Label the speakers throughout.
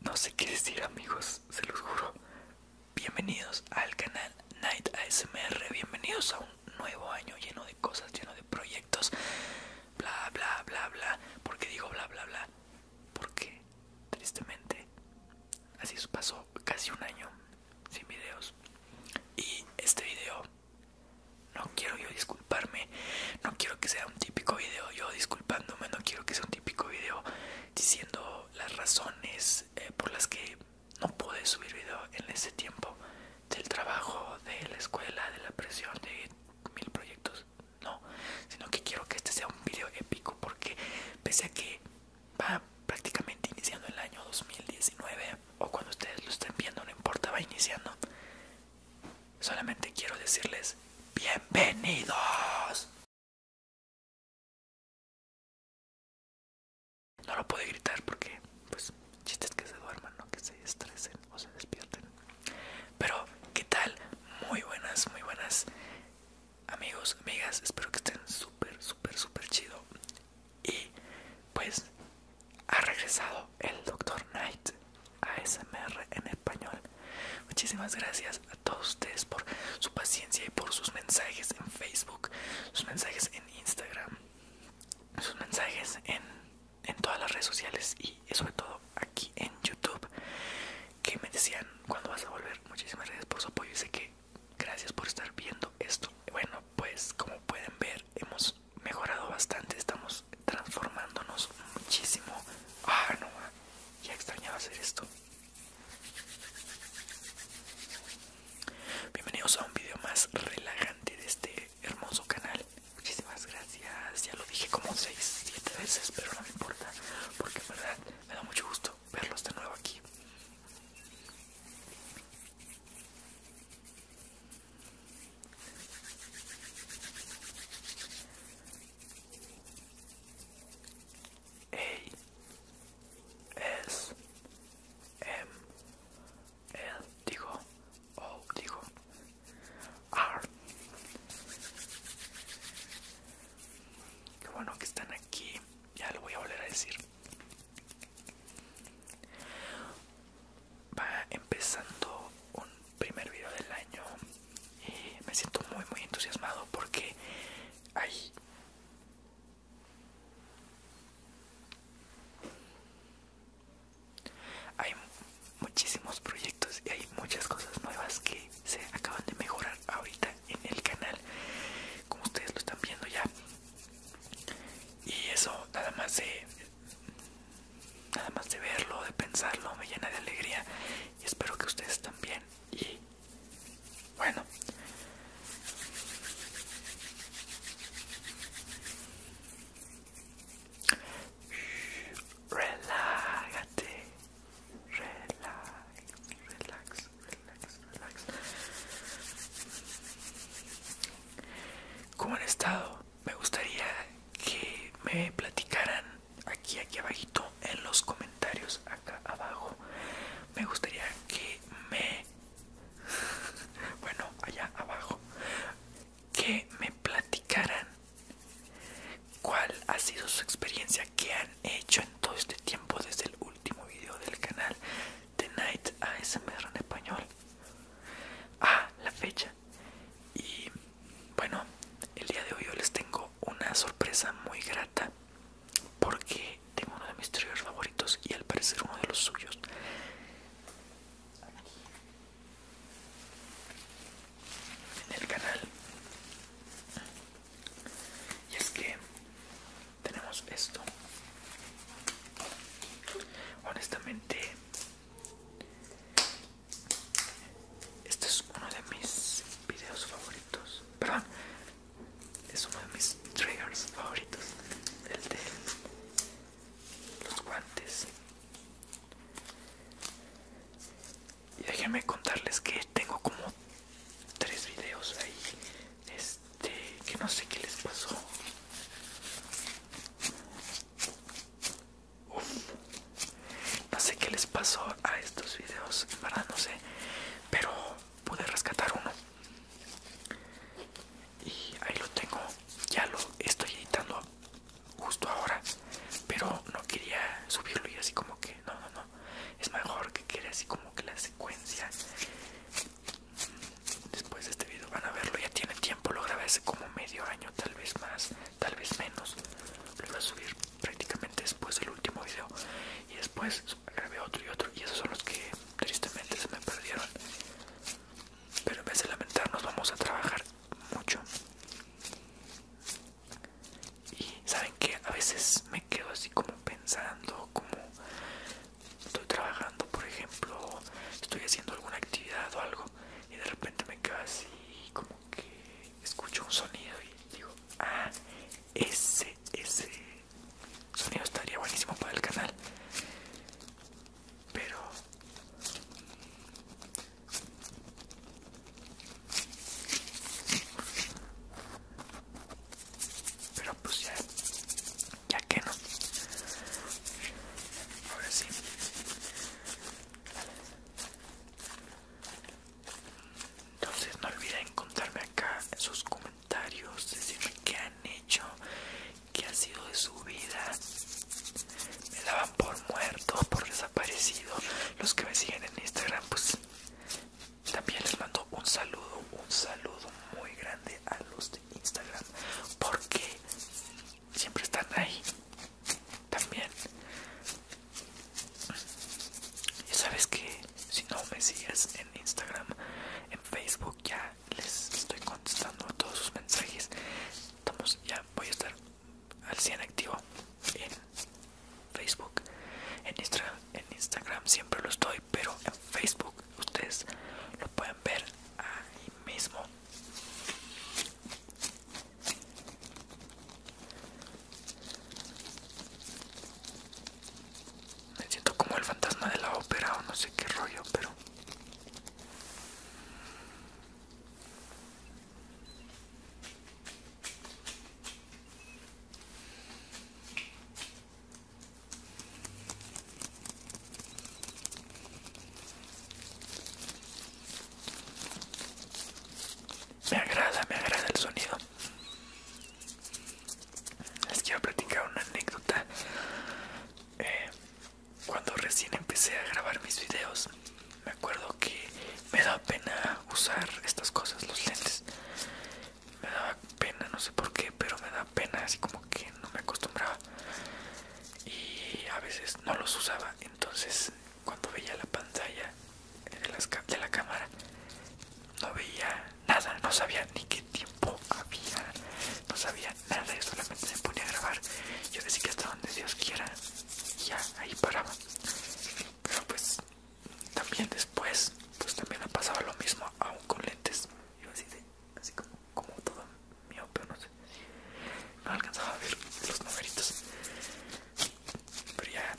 Speaker 1: No sé qué decir amigos, se los juro. Bienvenidos al canal Night ASMR, bienvenidos a un nuevo año lleno de cosas, lleno de proyectos, bla bla bla bla. porque digo bla bla bla? Porque tristemente así pasó casi un año sin videos. Y este video no quiero yo disculparme, no quiero que sea un típico video yo disculpándome, no quiero que sea un típico video diciendo las razones eh, por las que no pude subir video en ese tiempo del trabajo, de la escuela, de la presión, de mil proyectos, no, sino que quiero que este sea un video épico porque pese a que va prácticamente iniciando el año 2019, o cuando ustedes lo estén viendo, no importa, va iniciando. Solamente quiero decirles bienvenidos. No lo puedo gritar porque, pues, chistes que se duerman, no que se estresen o se despierten. Pero, ¿qué tal? Muy buenas, muy buenas amigos, amigas. Espero que estén súper, súper, súper chido. Y pues ha regresado el Dr. Knight ASMR en español. Muchísimas gracias a todos ustedes por su paciencia y por sus mensajes en Facebook, sus mensajes en Instagram, sus mensajes en, todas las redes sociales y sobre todo aquí en YouTube que me decían cuando vas a volver. Muchísimas gracias por su apoyo y sé que gracias por estar viendo esto. Bueno, pues como pueden ver, hemos mejorado bastante, estamos transformándonos muchísimo. Ah, no, ah, ya extrañaba hacer esto. Bienvenidos a un video más relajante de este hermoso canal. Muchísimas gracias. Ya lo dije como 6, 7 veces, pero no me importa, porque en verdad me da mucho gusto verlos de nuevo aquí. A S M L digo O digo R Qué bueno que están aquí ya lo voy a volver a decir Va empezando un primer video del año y me siento muy muy entusiasmado porque hay hay muchísimos proyectos y hay muchas cosas nuevas que se acaban de mejorar ahorita en el canal como ustedes lo están viendo ya y eso nada más de nada más de verlo de pensarlo me llena de alegría y espero que ustedes también y bueno Relájate, relax relax, relax, ¿Cómo han estado? Me gustaría que me platicaran aquí, aquí abajito, en los comentarios, acá abajo. Me gustaría que me... bueno, allá abajo. Que me platicaran cuál ha sido su experiencia, que han hecho en todo este tiempo desde el último video del canal, The Night ASMR en español. Ah, la fecha. Y bueno, el día de hoy yo les tengo una sorpresa muy grata porque tengo uno de mis triggers favoritos y al parecer uno de los suyos. En el canal. Y es que tenemos esto honestamente este es uno de mis videos favoritos perdón es uno de mis triggers favoritos el de los guantes y déjenme contarles que tengo como tres videos ahí este, que no sé qué les pasó. uff No sé qué les pasó a estos videos, para verdad no sé, pero pude rescatar uno. Y ahí lo tengo, ya lo estoy editando justo ahora, pero no quería subirlo y así como que, no, no, no, es mejor que quede así como que la secuencia Después de este video van a verlo, ya tiene tiempo, lo grabé hace como medio año, tal vez más, tal vez menos. Lo iba a subir prácticamente después del último video. Y después grabé otro y otro. Y esos son los que tristemente se me perdieron. Pero en vez de lamentarnos vamos a trabajar mucho. Y saben que a veces me quedo así como pensando, como estoy trabajando, por ejemplo, estoy haciendo alguna actividad o algo y de repente me quedo así como que escucho un sonido y digo, ah, ese, ese sonido estaría buenísimo para el canal. Pero pero pues ya, ya que no. Ahora sí. Entonces no olviden contarme acá en sus comentarios, decirme qué han hecho, qué ha sido de su vida. Me daban por muerto, por desaparecido. Los que me siguen en Instagram, pues también les mando un saludo, un saludo muy grande a los de Instagram porque siempre están ahí. También. Y sabes que si no me sigues en Instagram, en Facebook ya les estoy contestando todos sus mensajes. ya voy a estar al 100 activo en Facebook. En, en Instagram siempre lo estoy, pero en Facebook ustedes lo pueden ver ahí mismo. Me siento como el fantasma de la ópera o no sé qué rollo, pero... Me agrada, me agrada el sonido. Les quiero platicar una anécdota. Eh, cuando recién empecé a grabar mis videos, me acuerdo que me da pena usar estas cosas, los lentes me daba pena, no sé por qué, pero me daba pena, así como que no me acostumbraba y a veces no los usaba. Entonces, cuando veía la pantalla de, de la cámara, no veía nada, no sabía ni qué tiempo había, no sabía nada, y solamente se ponía a grabar. Yo decía que hasta donde Dios quiera, ya ahí paraba, pero pues también después pues también ha pasado lo mismo aún con lentes iba así de, así como, como todo mío pero no sé no alcanzaba a ver los numeritos pero ya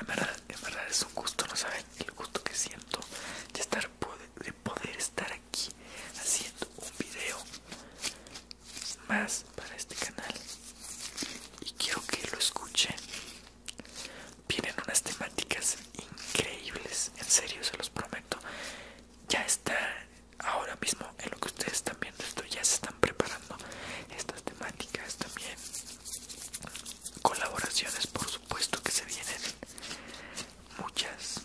Speaker 1: en verdad, en es un gusto no saben el gusto que siento de estar de poder estar aquí haciendo un video más para este canal y quiero que lo escuchen vienen unas temáticas increíbles en serio se los prometo ya está ahora mismo en lo que ustedes están viendo esto ya se están preparando estas temáticas también colaboraciones por supuesto que se vienen muchas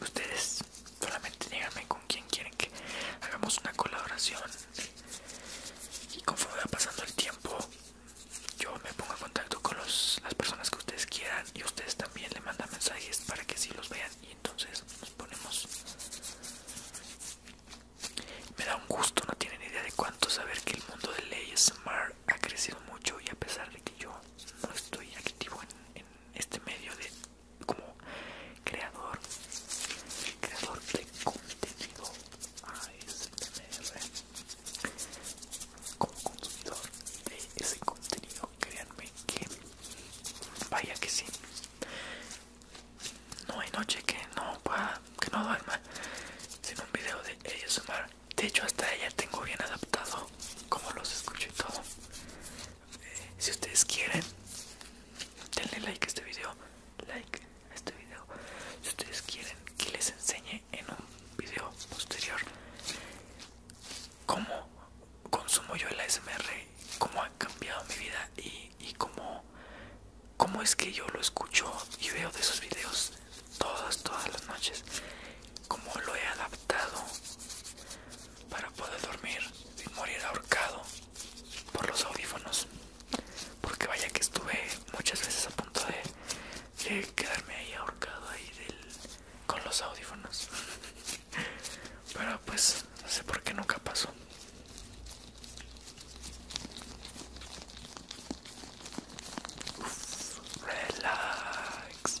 Speaker 1: ustedes Solamente díganme con quien quieren que hagamos una colaboración. Y conforme va pasando el tiempo, yo me pongo en contacto con los, las personas que ustedes quieran y ustedes también le mandan mensajes para que sí los vean. Y entonces nos ponemos. Me da un gusto, no tienen idea de cuánto saber que el mundo de leyes Smart ha crecido mucho y a pesar de que yo no estoy activo en este medio de como creador creador de contenido ASMR como consumidor de ese contenido créanme que vaya que sí no hay noche que no pueda que no duerma sin un video de ellos de hecho hasta ella tengo bien adaptado como los escucho y todo si ustedes quieren, denle like a este video. Like a este video. Si ustedes quieren que les enseñe en un video posterior cómo consumo yo el ASMR, cómo ha cambiado mi vida y, cómo, cómo es que yo lo escucho y veo de esos videos todas, todas las noches como lo he adaptado para poder dormir y morir ahorcado por los audífonos. Porque vaya que estuve muchas veces a punto de, quedarme ahí ahorcado ahí con los audífonos. Pero pues no sé por qué nunca pasó. relax,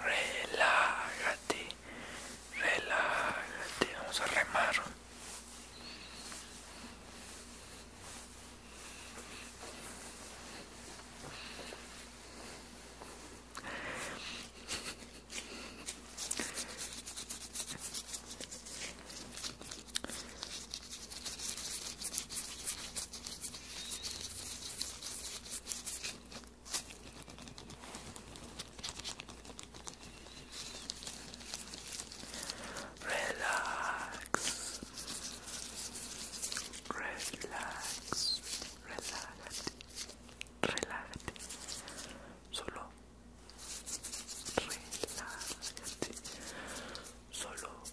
Speaker 1: Relágate, relágate, vamos a remar. Relax. Relax. Relájate. Relájate. Solo relájate. Solo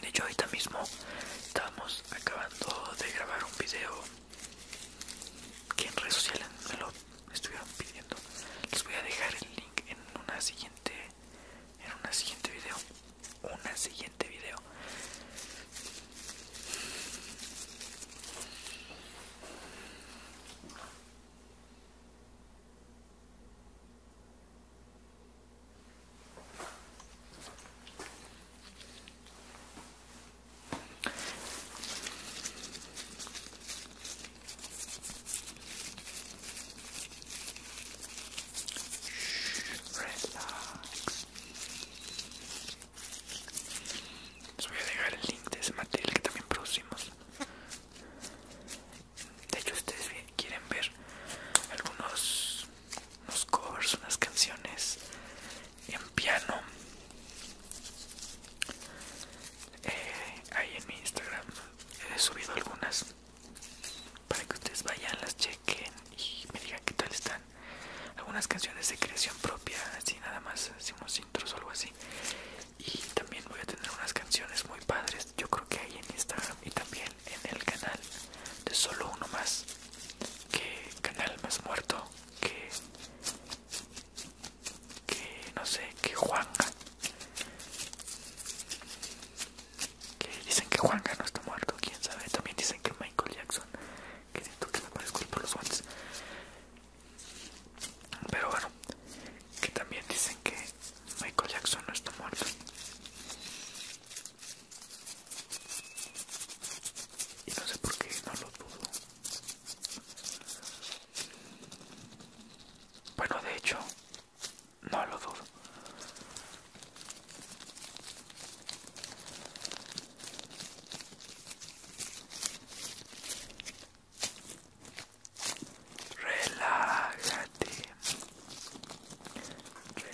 Speaker 1: De hecho, ahorita mismo estamos acabando de grabar un video que en redes sociales me lo estuvieron pidiendo. Les voy a dejar el link en una siguiente, en una siguiente video, una siguiente video. Relax. Les voy a dejar el link de ese material que también producimos. De hecho, ustedes quieren ver algunos unos covers, unas canciones en piano eh, ahí en mi Instagram he subido algunas para que ustedes vayan, las chequen y me digan que tal están. Algunas canciones de creación propia, así nada más, hacemos unos intros o algo así. Y también voy a tener unas canciones muy padres, yo creo que ahí en Instagram y también en el canal de solo uno más que canal más muerto que que no sé que Juanga que dicen que Juanga no está muerto quién sabe también dicen que Michael Jackson que siento que me conozco por los guantes pero bueno que también dicen que Michael Jackson no está muerto y no sé por qué no lo dudo. Bueno, de hecho, no lo dudo. Relájate. Relájate,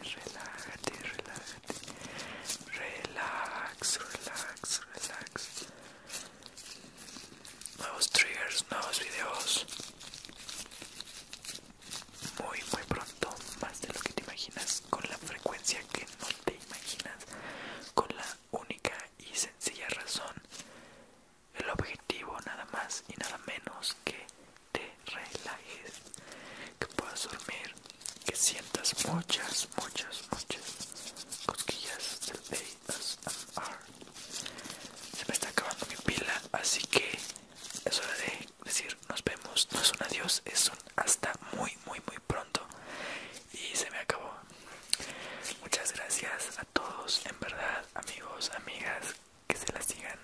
Speaker 1: relájate, relájate. Relax, relax, relax. Nuevos triggers, nuevos videos. Muy, muy pronto. Más de lo que te imaginas. Con la frecuencia que no te imaginas. Con la única y sencilla razón el objetivo nada más y nada menos que te relajes, que puedas dormir, que sientas muchas, muchas, muchas cosquillas del ASMR. Se me está acabando mi pila, así que es hora de decir nos vemos. No es un adiós, es un hasta muy, muy, muy pronto. Y se me acabó. Muchas gracias a todos, en verdad, amigos, amigas que se la sigan.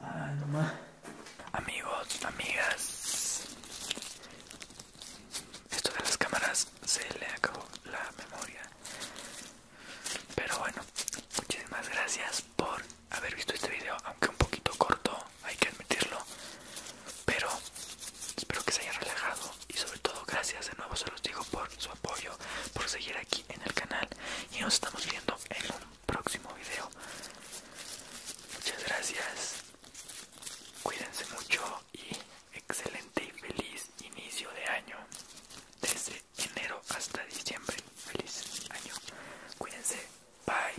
Speaker 1: Ah, Amigos, amigas. Esto de las cámaras se le acabó la memoria. Pero bueno, muchísimas gracias por haber visto este video, aunque un poquito corto, hay que admitirlo. Pero Espero que se hayan relajado y sobre todo gracias de nuevo se los digo por su apoyo, por seguir aquí en el canal y nos estamos viendo en un próximo video. Muchas gracias, cuídense mucho y excelente y feliz inicio de año. Desde enero hasta diciembre, feliz año. Cuídense, bye.